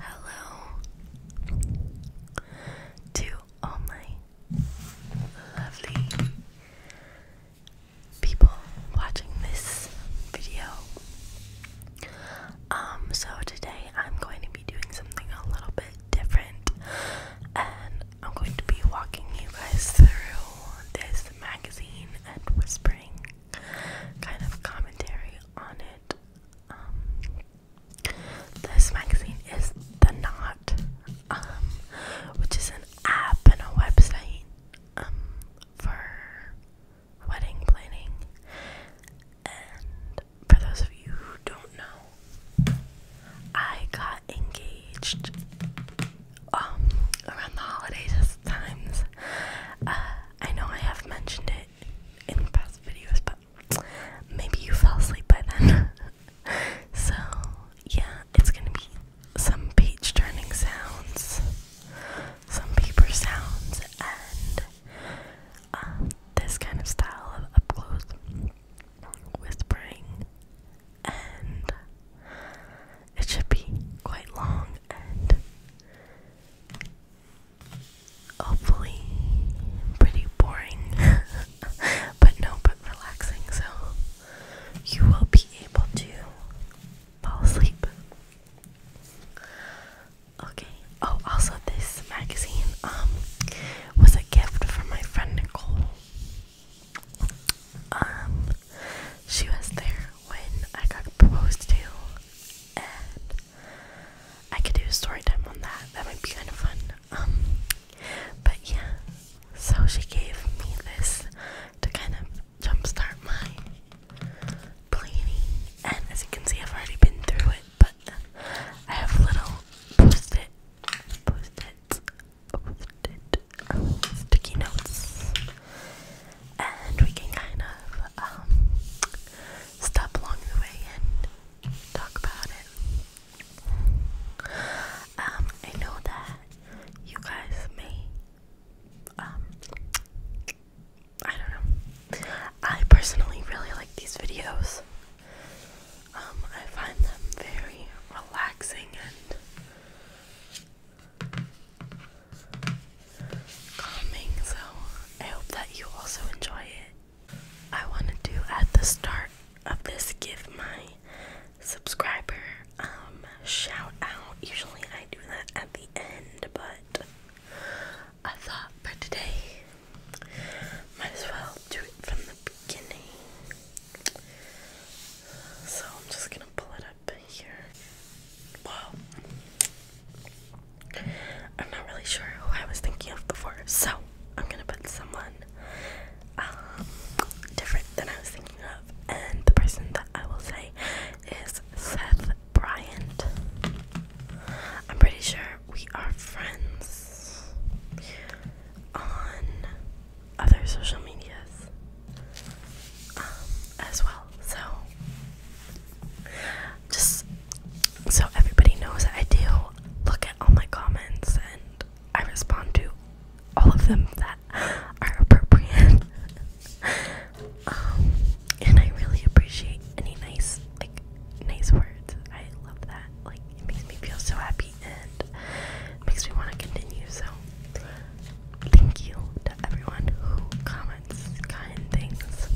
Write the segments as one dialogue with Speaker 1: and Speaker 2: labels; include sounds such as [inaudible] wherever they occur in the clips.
Speaker 1: Hello to all my lovely people watching this video. Um, so today I'm going to be doing something a little bit different, and I'm going to be walking you guys through this Magazine and whispering kind of commentary on it. Um, this magazine is The Knot, um, which is an app and a website um, for wedding planning. And for those of you who don't know, I got engaged um, around the holidays times. Uh, I know I have mentioned it in past videos, but maybe you fell asleep by then. [laughs] so, yeah, it's gonna be some page turning sounds, some paper sounds, and uh, this kind of style of up close whispering and it should be quite long and hopefully pretty boring, [laughs] but no, but relaxing, so you will be able to fall asleep. Okay. Oh, also this magazine um was a gift from my friend Nicole. Um, she was there when I got proposed to, and I could do a story time on that. That might be kind of fun. Um, but yeah, so she gave me this to kind of jumpstart my planning, and as you can see, I've already been through it, but I have little post it, post it um, sticky notes, and we can kind of um, stop along the way and talk about it. Um, I know that you guys may, I don't know. I personally really like these videos. I find them very relaxing and calming, so I hope that you also enjoy it. I wanted to, at the start of this, give my subscriber um, shout out. Usually I do that at the end, but I thought for today, might as well do it from the beginning. So I'm just gonna pull it up here. Well, I'm not really sure who I was thinking of before, so I'm gonna put someone um, different than I was thinking of, and the person that I will say is Seth Bryant. I'm pretty sure we are friends on other social medias um, as well. So, just so everybody knows, I do look at all my comments and I respond to all of them that are appropriate. [laughs] um, and I really appreciate any nice, like, nice words. I love that. Like, it makes me feel so happy me makes me want to continue. So, thank you to everyone who comments kind things.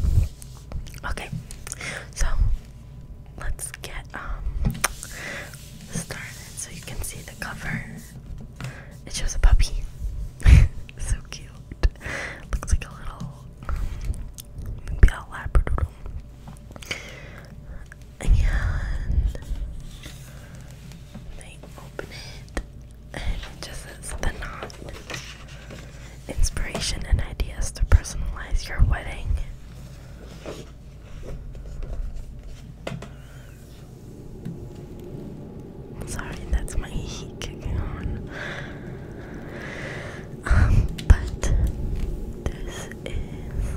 Speaker 1: Okay, so let's get um, started. So you can see the cover. It shows a puppy. [laughs] so cute. Looks like a little um, maybe a labradoodle and they open it and it just says the knot. Inspiration and ideas to personalize your wedding. Sorry, that's my heat kicking on. Um, but this is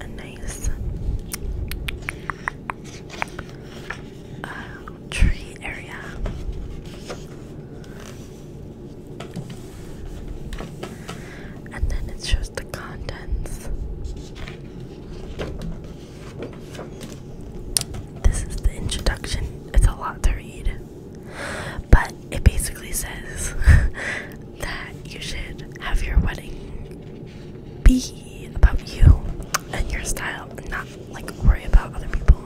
Speaker 1: a nice uh, tree area. And then it shows the contents. This is the introduction. It's a lot to read. But it basically says [laughs] that you should have your wedding be about you and your style and not like worry about other people.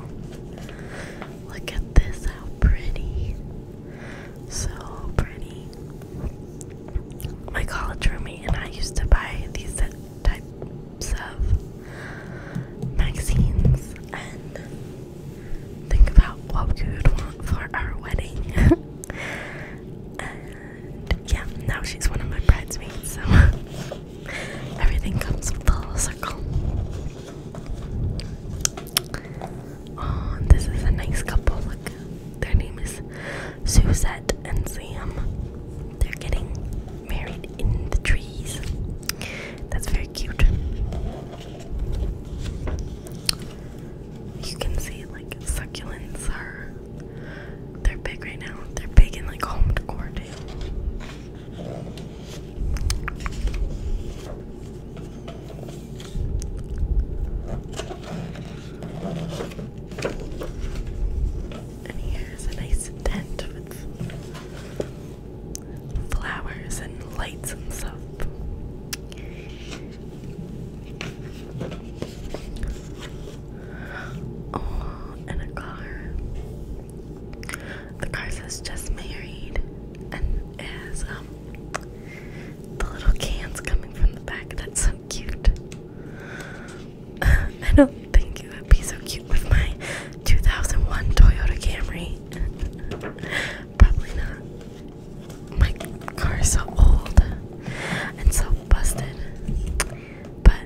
Speaker 1: Look at this, how pretty. So pretty. My college roommate and I used to buy these types of magazines and think about what we would want for our wedding. [laughs] And yeah, now she's one of my bridesmaids, so [laughs] everything comes full circle. Oh, this is a nice couple. Look, their name is Suzette and Sam. They're getting married in the trees. That's very cute you can see like succulents are they're big right now. They're big and like home decor And here's a nice tent with flowers and lights and stuff. Oh, and a car. The car says just married, and it has um the little cans coming from the back. That's so cute. [laughs] I don't think it would be so cute with my 2001 Toyota Camry. [laughs] Probably not. My car is so old and so busted, but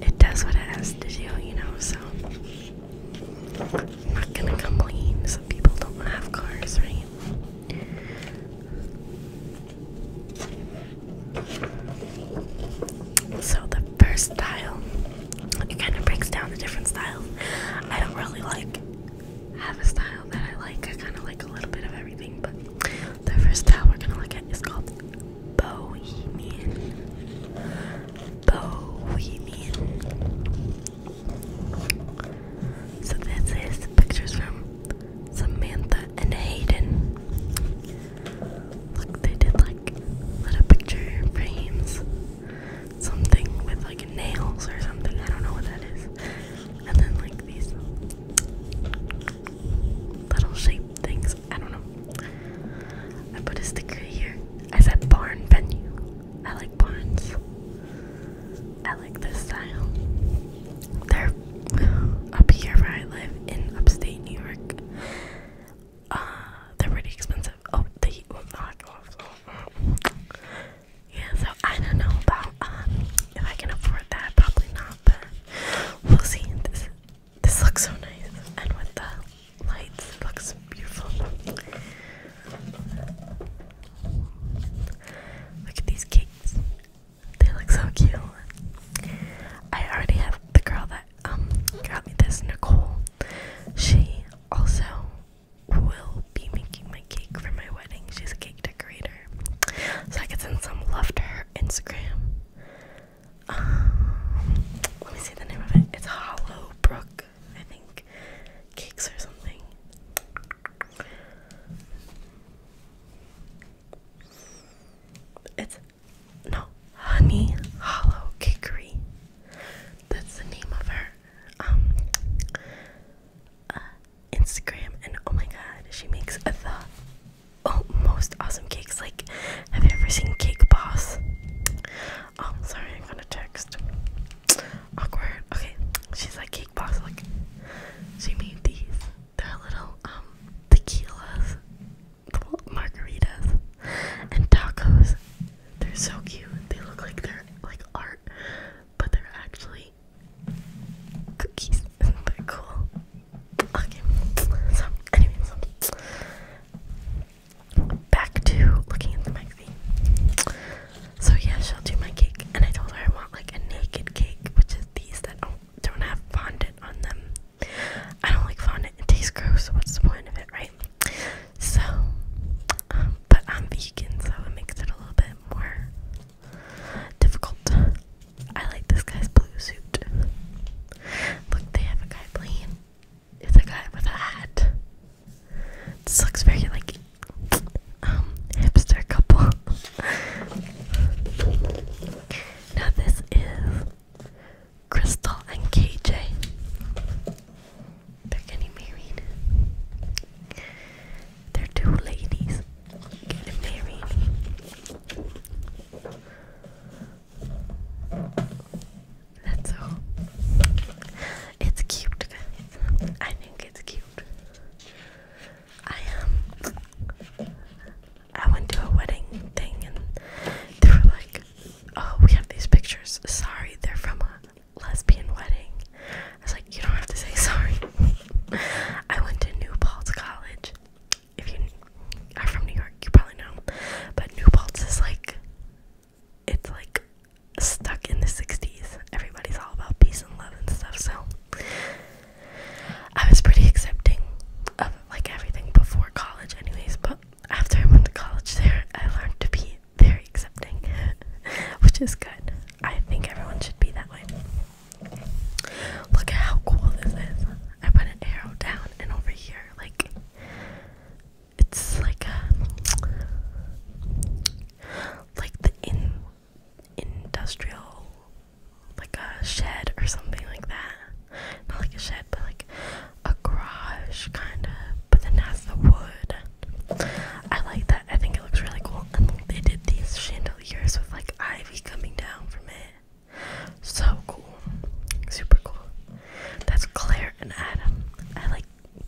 Speaker 1: it does what it has to do, you know. So I'm not gonna complain. Some people don't have cars, right? So the first style, it kind of breaks down the different styles. I don't really like have a style that I like. I kind of like a little bit of everything, but the first style we're gonna look at is called Bohemian. Bohemian. So this is pictures from Samantha and Hayden. Look, they did like little picture frames, something with like nails or something. I don't know what that is and then like these little shape things. I don't know. I put a sticker here. I said barn venue. I like barns. I like this style. They're up here where I live in upstate New York. Uh, they're pretty expensive. Oh, the heat oh, will knock off. Oh, yeah, so I don't know about um if I can afford that, probably not, but we'll see. This this looks so nice, and with the lights, it looks beautiful. Look at these cakes; they look so cute. I already have the girl that um got me this, Nicole. She also will be making my cake for my wedding. She's a cake decorator. So I could send some love to her Instagram. Um, let me see the name of it. It's Hollow Brook, I think. Cakes or something. It's no Honey Hollow Cakery. That's the name of her. Um, uh, Instagram, and oh my god, she makes the oh, most awesome cakes. Like, have you ever seen Cake Boss? Oh, sorry, I'm gonna text. Awkward. Okay, she's like Cake Boss. Like, she made these. They're little um, tequilas, little margaritas, and tacos. They're so cute. They look like they're like art, but they're actually cookies. They're cool. Okay. So, anyways, back to looking at the magazine. So yeah, she'll do my cake, and I told her I want like a naked cake, which is these that don't, don't have fondant on them. I don't like fondant; it tastes gross. So what's the point of it, right? So but I'm vegan, so it makes it a little bit more difficult. I like this guy's blue suit. Look, they have a guy playing. It's a guy with a hat. This looks very like um hipster couple. now this is Crystal and KJ. They're getting married. They're two ladies getting married. That's all. It's cute, I think it's cute. I um, I went to a wedding thing and they were like, "Oh, we have these pictures. Sorry, they're from uh, lesbian wedding. I was like, you don't have to say sorry. [laughs] I went to New College. If you are from New York, you probably know. But New is like, it's like stuck in the 60s. Everybody's all about peace and love and stuff. So I was pretty accepting of like everything before college, anyways. But after I went to college there, I learned to be very accepting, [laughs] which is good. I think everyone should be that way. Look at how cool this is. I put an arrow down and over here, like, it's like a, like the in, industrial, like a shed or something like that. Not like a shed, but like a garage, kind of but then has the wood. I like that. I think it looks really cool. they did these chandeliers with like ivy coming down from it. So cool. Super cool. That's Claire and Adam. I like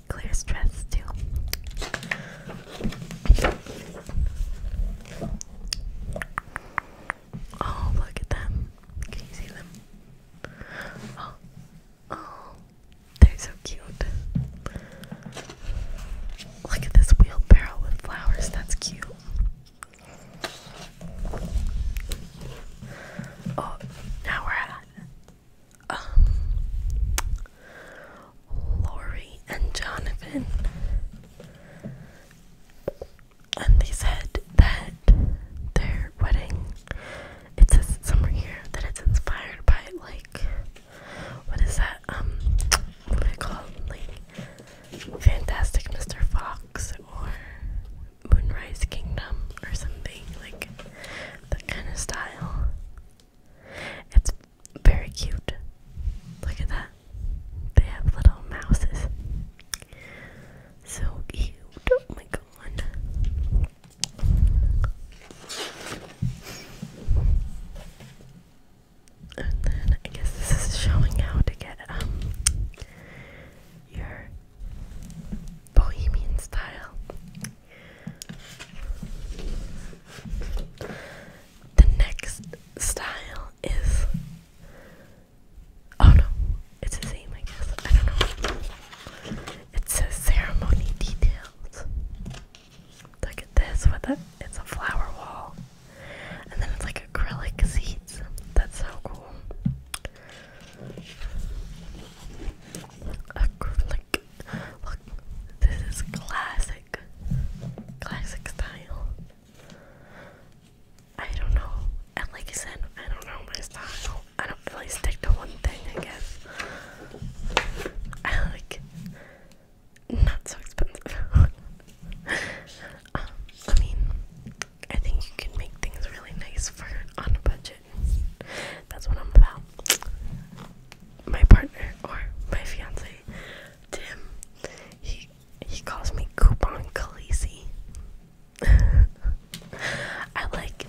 Speaker 1: Claire's dress too. Oh, look at them. Can you see them? oh, oh. They're so cute. Look at this wheelbarrow with flowers. That's cute. Oh, now we're at um Lori and Jonathan. And they said that their wedding it says somewhere here that it's inspired by like what is that? Um, what do they call it? Like Fantastic Mr. Fox or Moonrise Kingdom or something like that kind of style. It's very cute. Look at that. They have little mouses. So cute. Oh my god. And then I guess this is showing how to get um your bohemian style. The next style is oh no, it's the same I guess. I don't know. It says ceremony details. Look at this with it. It's a flower wall. And then it's like acrylic seats. That's so cool. Acrylic. Look, this is classic. Classic style. I don't know. And like I said, I don't know my style. I don't really stick to one thing, I guess. I [laughs] like not so expensive. [laughs] Um, I mean, I think you can make things really nice for on a budget. That's what I'm about. My partner or my fiance, Tim, he he calls me Coupon Khaleesi. [laughs] I like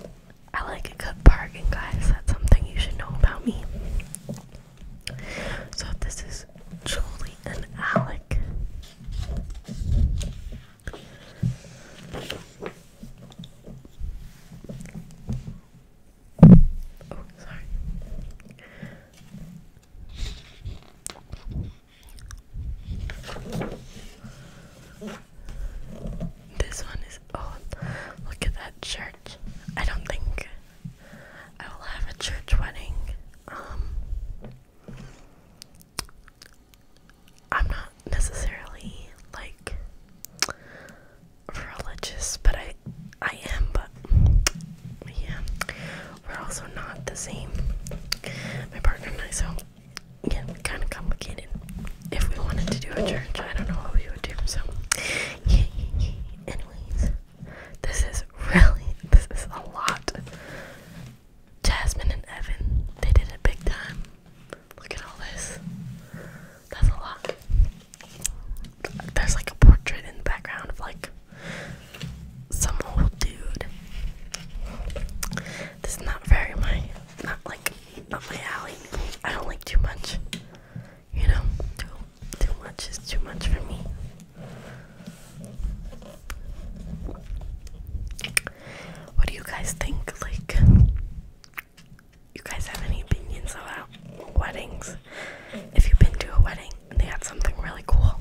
Speaker 1: I like a good bargain, guys. That's something you should know about me. So, this is Julie and Alec. Oh, sorry. This one is old. Look at that church. I don't think I will have a church wedding. Um, I'm not necessarily like religious, but I I am, but yeah, we're also not the same. My partner and I, so yeah, kind of complicated if we wanted to do a church, I don't know what we would do. So, anyways, this is really this is a lot. Jasmine and Evan, they did a big time. Look at all this. That's a lot. There's like a portrait in the background of like some old dude. This is not very my, not like up my alley. I don't like too much. You know, too too much is too much for me. What do you guys think? Like, you guys have any opinions about weddings? If you've been to a wedding and they had something really cool,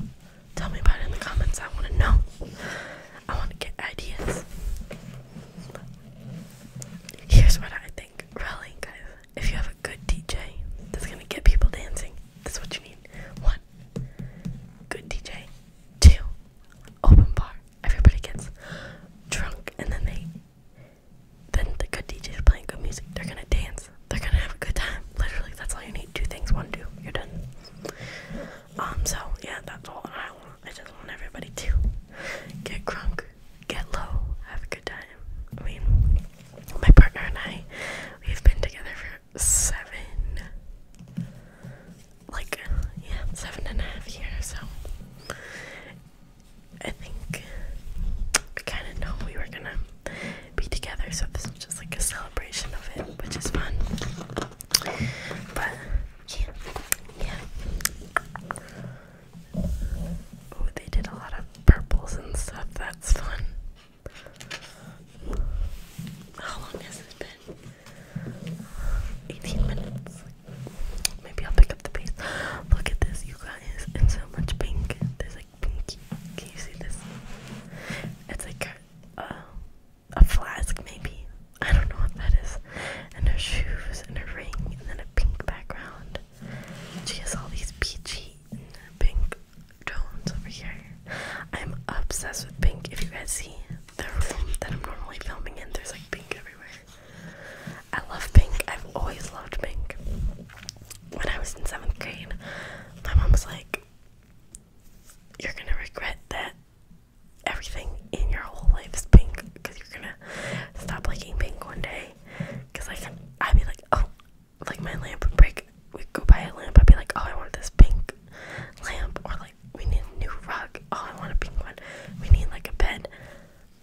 Speaker 1: tell me about it in the comments. I want to know. I want to get ideas. Here's what I think, really, guys. If you have a good DJ that's gonna get people dancing, that's what you need. One, good DJ. Two, open bar. Everybody gets drunk, and then they, then the good DJ is playing good music. They're gonna dance. They're gonna have a good time. Literally, that's all you need. Two things. One, two. You're done. Um. So yeah, that's all I want. I just want everybody to get drunk, get low, have a good time. I mean, my partner and I, we've been together for seven, like, yeah, seven and a half years, so I think we kind of know we were gonna be together, so this is just like a celebration of it, which is fun. But, yeah, yeah. Oh, they did a lot of purples and stuff. That's fun. How long has this been? 18 minutes. Maybe I'll pick up the pace. Look at this, you guys. It's so much pink. There's like pinky. Can you see this? It's like a flask, maybe. I don't know what that is. And her shoes and her ring and then a pink background. She has all these peachy pink tones over here. I'm obsessed with pink. If you guys see the room that I'm normally filming in, there's like pink everywhere. I love pink. I've always loved pink. When I was in seventh grade, my mom was like, You're gonna regret that everything in your whole life is pink because you're gonna stop liking pink one day. Because like I'd be like, oh, like my lamp break. we go buy a lamp. I'd be like, oh, I want this pink lamp, or like we need a new rug. Oh, I want a pink one. We need like a bed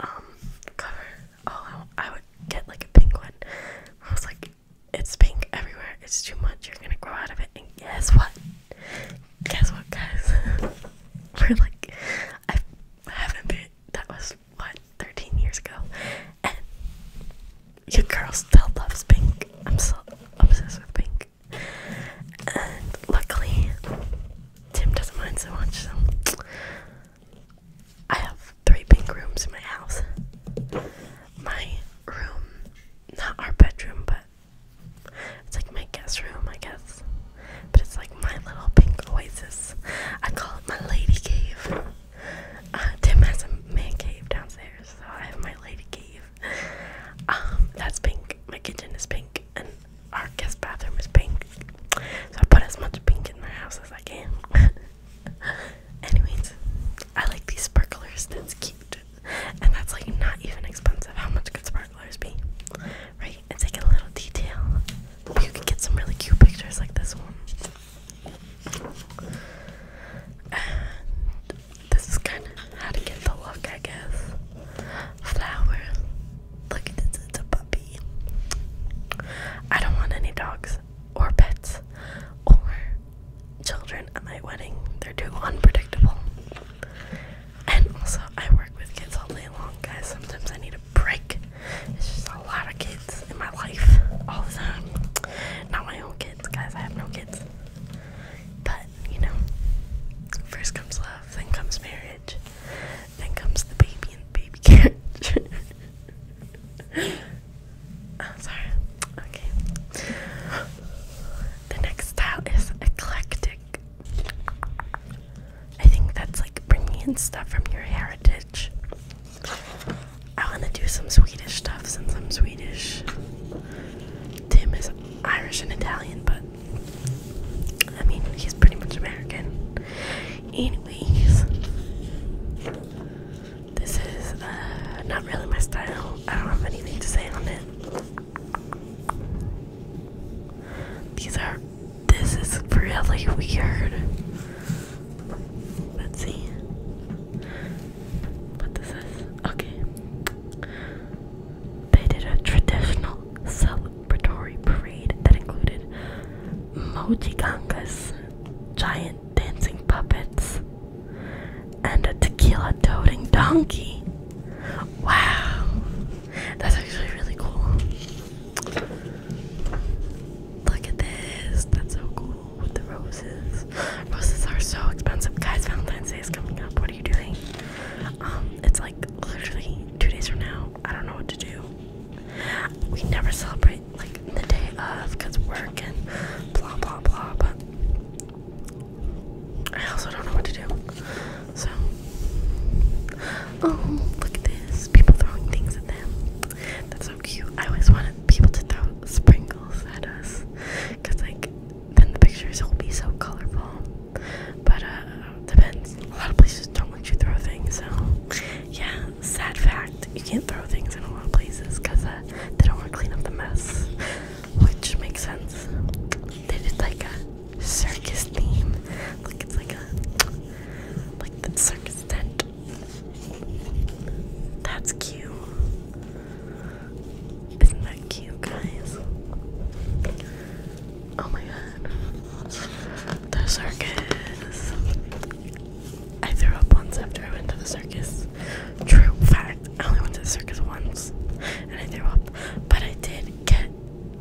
Speaker 1: um cover. Oh, I, would get like a pink one. I was like, it's pink everywhere. It's too much. You're gonna grow out of it. And guess what? guess what, guys? [laughs] We're like, I haven't been. That was what 13 years ago, and your girl still loves pink. I'm so obsessed with pink, and luckily, Tim doesn't mind so much. So I have three pink rooms in my house. My room, not our bedroom, but it's like my guest room, I guess. But it's like my little pink oasis. I call it my lady cave. Uh, Tim has a man cave downstairs, so I have my lady cave. Um, that's pink. My kitchen is pink, and our guest bathroom is pink. So I put as much pink in my house as I can. [laughs] Anyways, I like these sparklers. That's cute, and that's like not even expensive. How much could sparklers be, right? and take a little detail. You can get some really cute pictures like this one. this is kind of how to get the look, I guess. Flower. Look at this, puppy. I don't want any dogs or pets or children at my wedding. They're too unpredictable. And also, I work with kids all day long, guys. Sometimes I need a break. It's just a lot of kids in my life all the time. Not my own kids, guys. I have no kids. But, you know, first comes love, then comes marriage, then comes the baby and the baby [laughs] carriage. [laughs] oh, sorry. Okay. The next style is eclectic. I think that's like bringing in stuff from your heritage. I want to do some Swedish stuff since I'm Swedish. Tim is Irish and Italian, but I mean, he's pretty much American. Anyways, this is uh, not really my style. I don't have anything to say on it. These are. This is really weird. Let's see. What this is. Okay. They did a traditional celebratory parade that included mojigangas, giant dancing puppets, and a tequila toting donkey. Wow. That's actually really cool. Look at this. That's so cool with the roses. Roses are so expensive. Guys, Valentine's Day is coming up. What are you doing? Um, it's like literally two days from now. I don't know what to do. We never celebrate like the day of because work and blah blah blah. But I also don't know what to do. So, oh, look at this. People throwing things at them. That's so cute. I always wanted people to throw sprinkles at us. Because, like, then the pictures will be so colorful. But, uh, depends. A lot of places don't let you throw things. So, yeah, sad fact. You can't throw things in a lot of places because uh, they don't want to clean up the mess. Which makes sense. They did like a circus theme. Like it's like a like the circus tent. That's cute. Isn't that cute, guys? Oh my god. The circus. I threw up once after I went to the circus. True fact, I only went to the circus once and I threw up. But I did get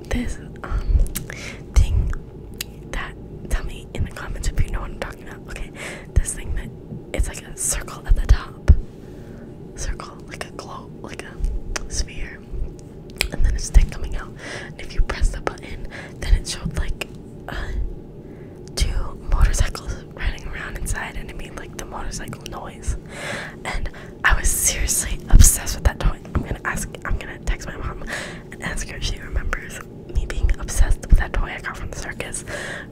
Speaker 1: this um thing that tell me in the comments if you know what I'm talking about. Okay, this thing that it's like a circle at the top. Circle, like a globe, like a sphere. And then a stick coming out. And if you press the button, then it showed like uh, two motorcycles running around inside and it made like the motorcycle noise. And I was seriously obsessed with that toy. I'm gonna ask, I'm gonna text my mom and ask her if she remembers me being obsessed with that toy I got from the circus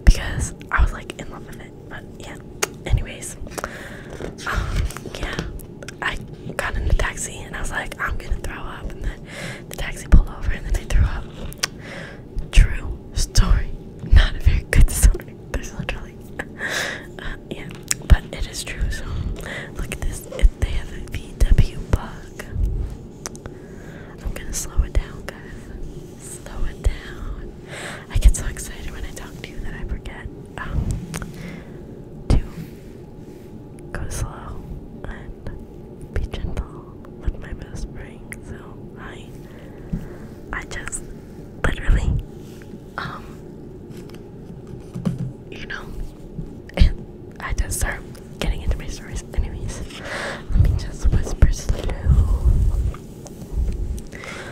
Speaker 1: because I was like in love with it. But yeah, anyways, um, yeah, I got in the taxi and I was like, I'm gonna throw up, and then the taxi pulled over and then I threw up. True story, not a very good story. There's literally [laughs] uh, yeah, but it is true. So look at this. If they have a VW bug, I'm gonna slow it down, guys. Slow it down. I get so excited when I talk to you that I forget um, to go slow and be gentle with my whispering. So I, I just literally, um, you know, [laughs] I just start getting into my stories. Anyways, let me just whisper slow.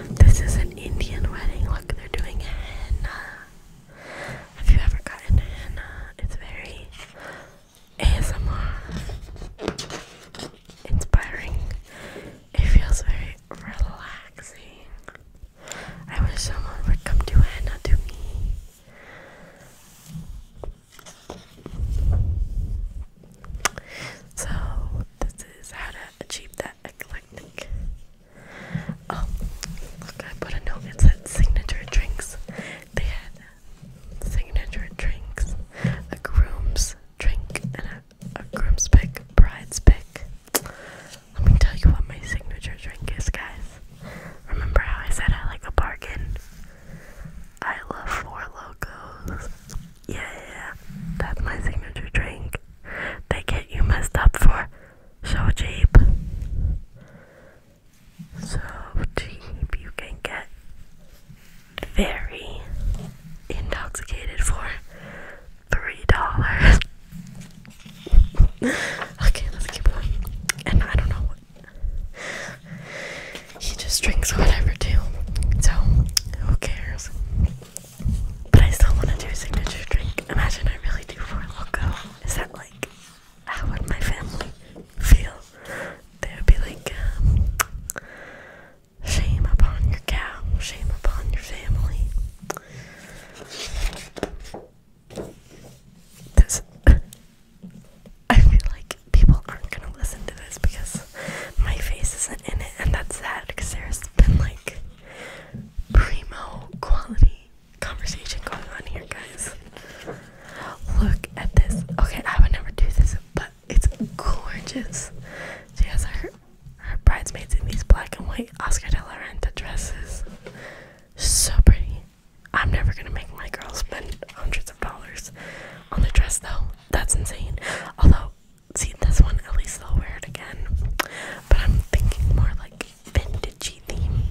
Speaker 1: This is an Indian wedding. Look, they're doing henna. Have you ever gotten henna? It's very ASMR inspiring. It feels very relaxing. I wish someone would come to Anna to me. So this is how to achieve that eclectic. Oh, look! I put a note. It said signature drinks. They had signature drinks, a groom's drink, and a a groom's pick, bride's pick. Let me tell you what my signature drink is, guys. Remember how I said I like a bargain? I love Four Locos. Yeah, yeah, that's my signature drink. They get you messed up for so cheap. So cheap, you can get very intoxicated for three dollars. [laughs] okay, let's keep going. And I don't know he just drinks whatever too. So who cares? But I still want to do a signature drink. Imagine I really do for loco. Is that like how would my family feel? They would be like, um, Shame upon your cow. Shame upon your family. This. [laughs] I feel like people aren't gonna listen to this because my face isn't in it, and that's sad because there's been like primo quality conversation going on here, guys. Look at this. Okay, I would never do this, but it's gorgeous. She has her her bridesmaids in these black and white Oscar de la Renta dresses. So pretty. I'm never gonna make my girls spend hundreds of dollars on the dress though. That's insane. Although, see this one at least they'll wear it again. But I'm thinking more like vintagey theme.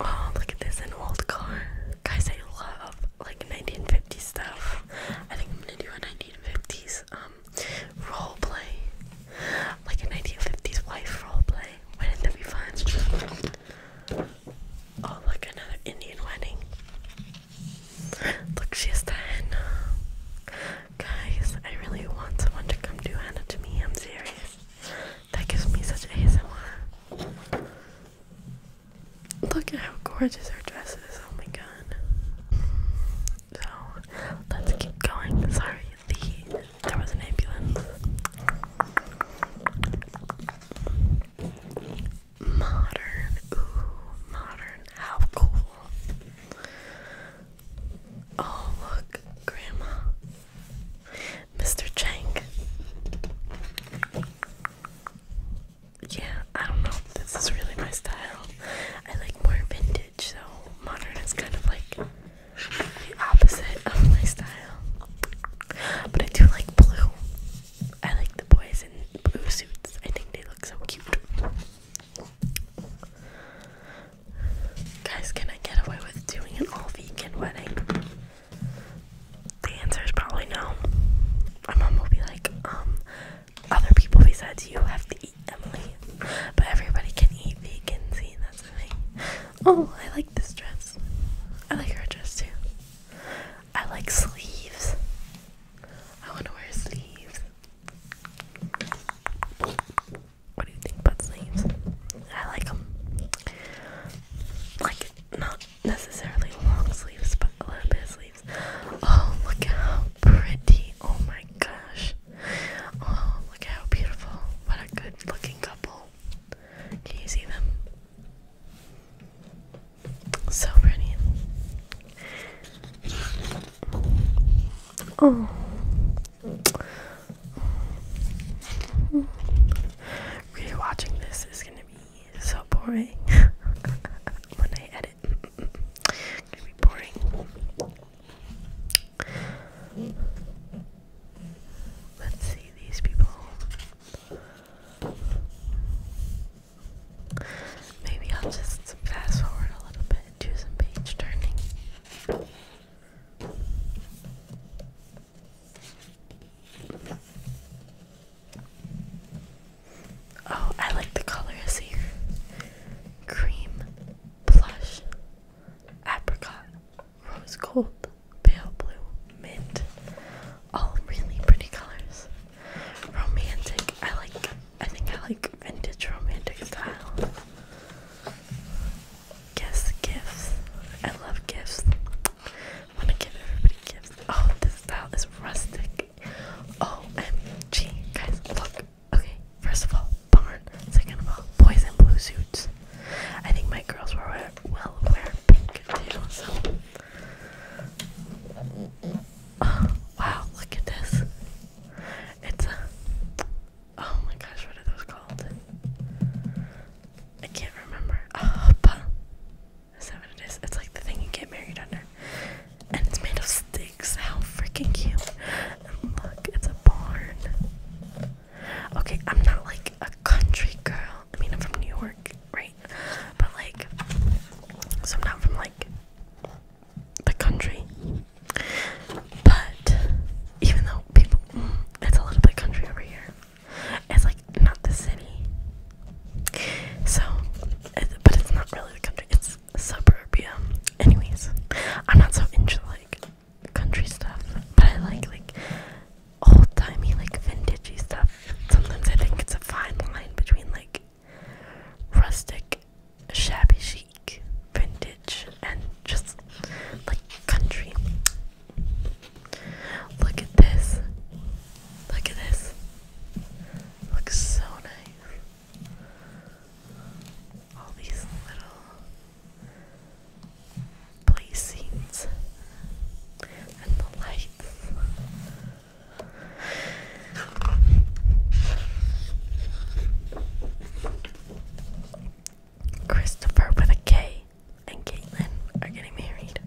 Speaker 1: Oh, look at this an old car. Guys I love like 1950s stuff. I think I'm gonna do a 1950s um, role play, like a 1950s wife role play. Wouldn't that be fun? Oh, look, another Indian wedding. Look, she has the henna. Uh, guys, I really want someone to come do henna to me. I'm serious. That gives me such ASMR. Look at how gorgeous her dress is. Oh my god. So let's keep going. Sorry, there was an ambulance. Modern, ooh, modern. How cool! Oh look, Grandma, Mr. Chang yeah, I don't know. This is really my style. I like more vintage, so modern is kind of like the opposite of my style. But I do like blue. I like the boys in blue suits. I think they look so cute. Guys, can I get away with doing an all vegan wedding? The answer is probably no. My mom will be like, um, other people besides you have to eat Emily. But everybody can eat vegan, see, that's the Oh, I like this dress. I like her dress too. I like sleeves. I want to wear sleeves. What do you think about sleeves? I like them. Like, not necessarily long sleeves, but a little bit of sleeves. Oh, look how pretty. Oh my gosh. Oh, look how beautiful. What a good looking couple. Can you see them? So pretty. Oh. Rewatching this is gonna be so boring [laughs] when I edit. Could be boring. Let's see these people. Maybe I'll just fast forward a little bit and do some page turning. Oh, I like the colors here. Cream, blush, apricot, rose gold, pale blue, mint. All really pretty colors. Romantic. I like I think I like vintage romantic style. Guess gifts. I love gifts. I wanna give everybody gifts. Oh, this style is rustic like, OMG, guys, look. Okay, first of all, barn. Second of all, boys blue suits. I think my girls were well aware oh, wow, look at this. It's a. Oh my gosh, what are those called? I can't remember. Uh, is what it is? It's like the thing you get married under. And it's made of sticks. How freaking cute. look, it's a barn. Okay, I'm not like a country girl. I mean, I'm from New York, right? But like, so I'm not from like the country. But even though people, mm, it's a little bit country over here. It's like not the city. So, but it's not really the country, it's suburbia. Anyways, I'm not so into like country stuff, but I like like old timey, like vintagey stuff. Sometimes I think it's a fine line between like rustic, shabby chic, vintage, and just like country. Look at this. Look at this. Looks so nice. All these little placings and the lights. Christopher with a K and Caitlin are getting married.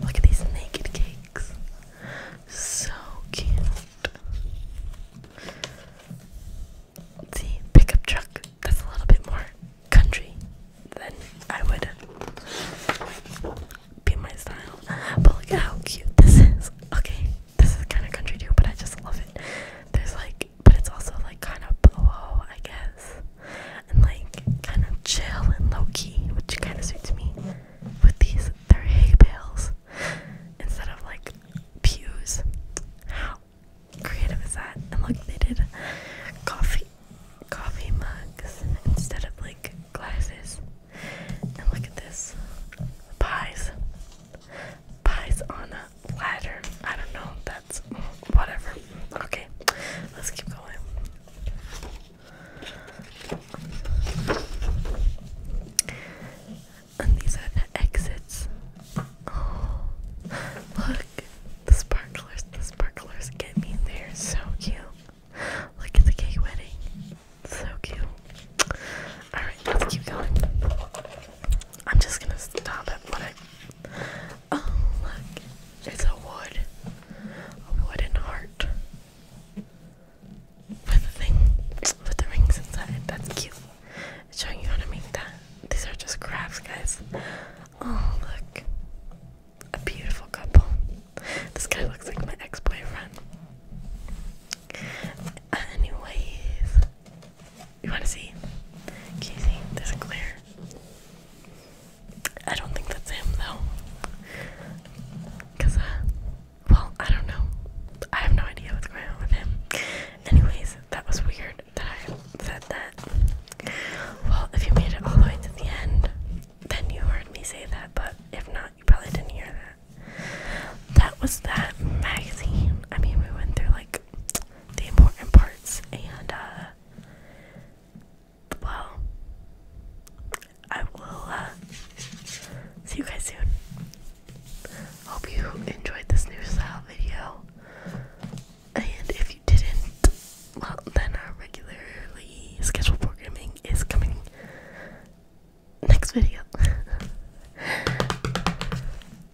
Speaker 1: Look at these naked cakes. So cute. See, pickup truck. That's a little bit more country than I would be my style. But look at how cute this is. Okay, this is kind of country too, but I just love it. There's like, but it's also like kind of blow, oh, I guess and like kind of chill and low key, which kind of suits me. With these, they're hay bales instead of like pews. How creative is that? And look, they did coffee, coffee mugs instead of like glasses. And look at this pies, pies on a ladder. I don't know. That's whatever. Okay, let's keep going. And these are the exits. Oh, look, the sparklers, the sparklers get me there. So cute. Look at the cake wedding. So cute. Alright, let's keep going. I'm just gonna stop at what Oh, look. It's a wood. A wooden heart. With the thing, with the rings inside. That's cute. It's showing you how to make that. These are just crafts, guys. Oh, look. A beautiful couple. This guy looks like my ex boyfriend. Anyways, you want to see? Can you see? There's a glare. I don't think that's him though. Cause uh well, I don't know. I have no idea what's going on with him. Anyways, that was weird that I said that. Well, if you made it all the way to the end, then you heard me say that, but if not, you probably didn't hear that. That was that magazine. I mean, we went through like the important parts and uh well, I will uh, see you guys soon. Hope you enjoyed this new style video. And if you didn't, well, then our regularly scheduled programming is coming next video. [laughs] Bye,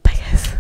Speaker 1: guys.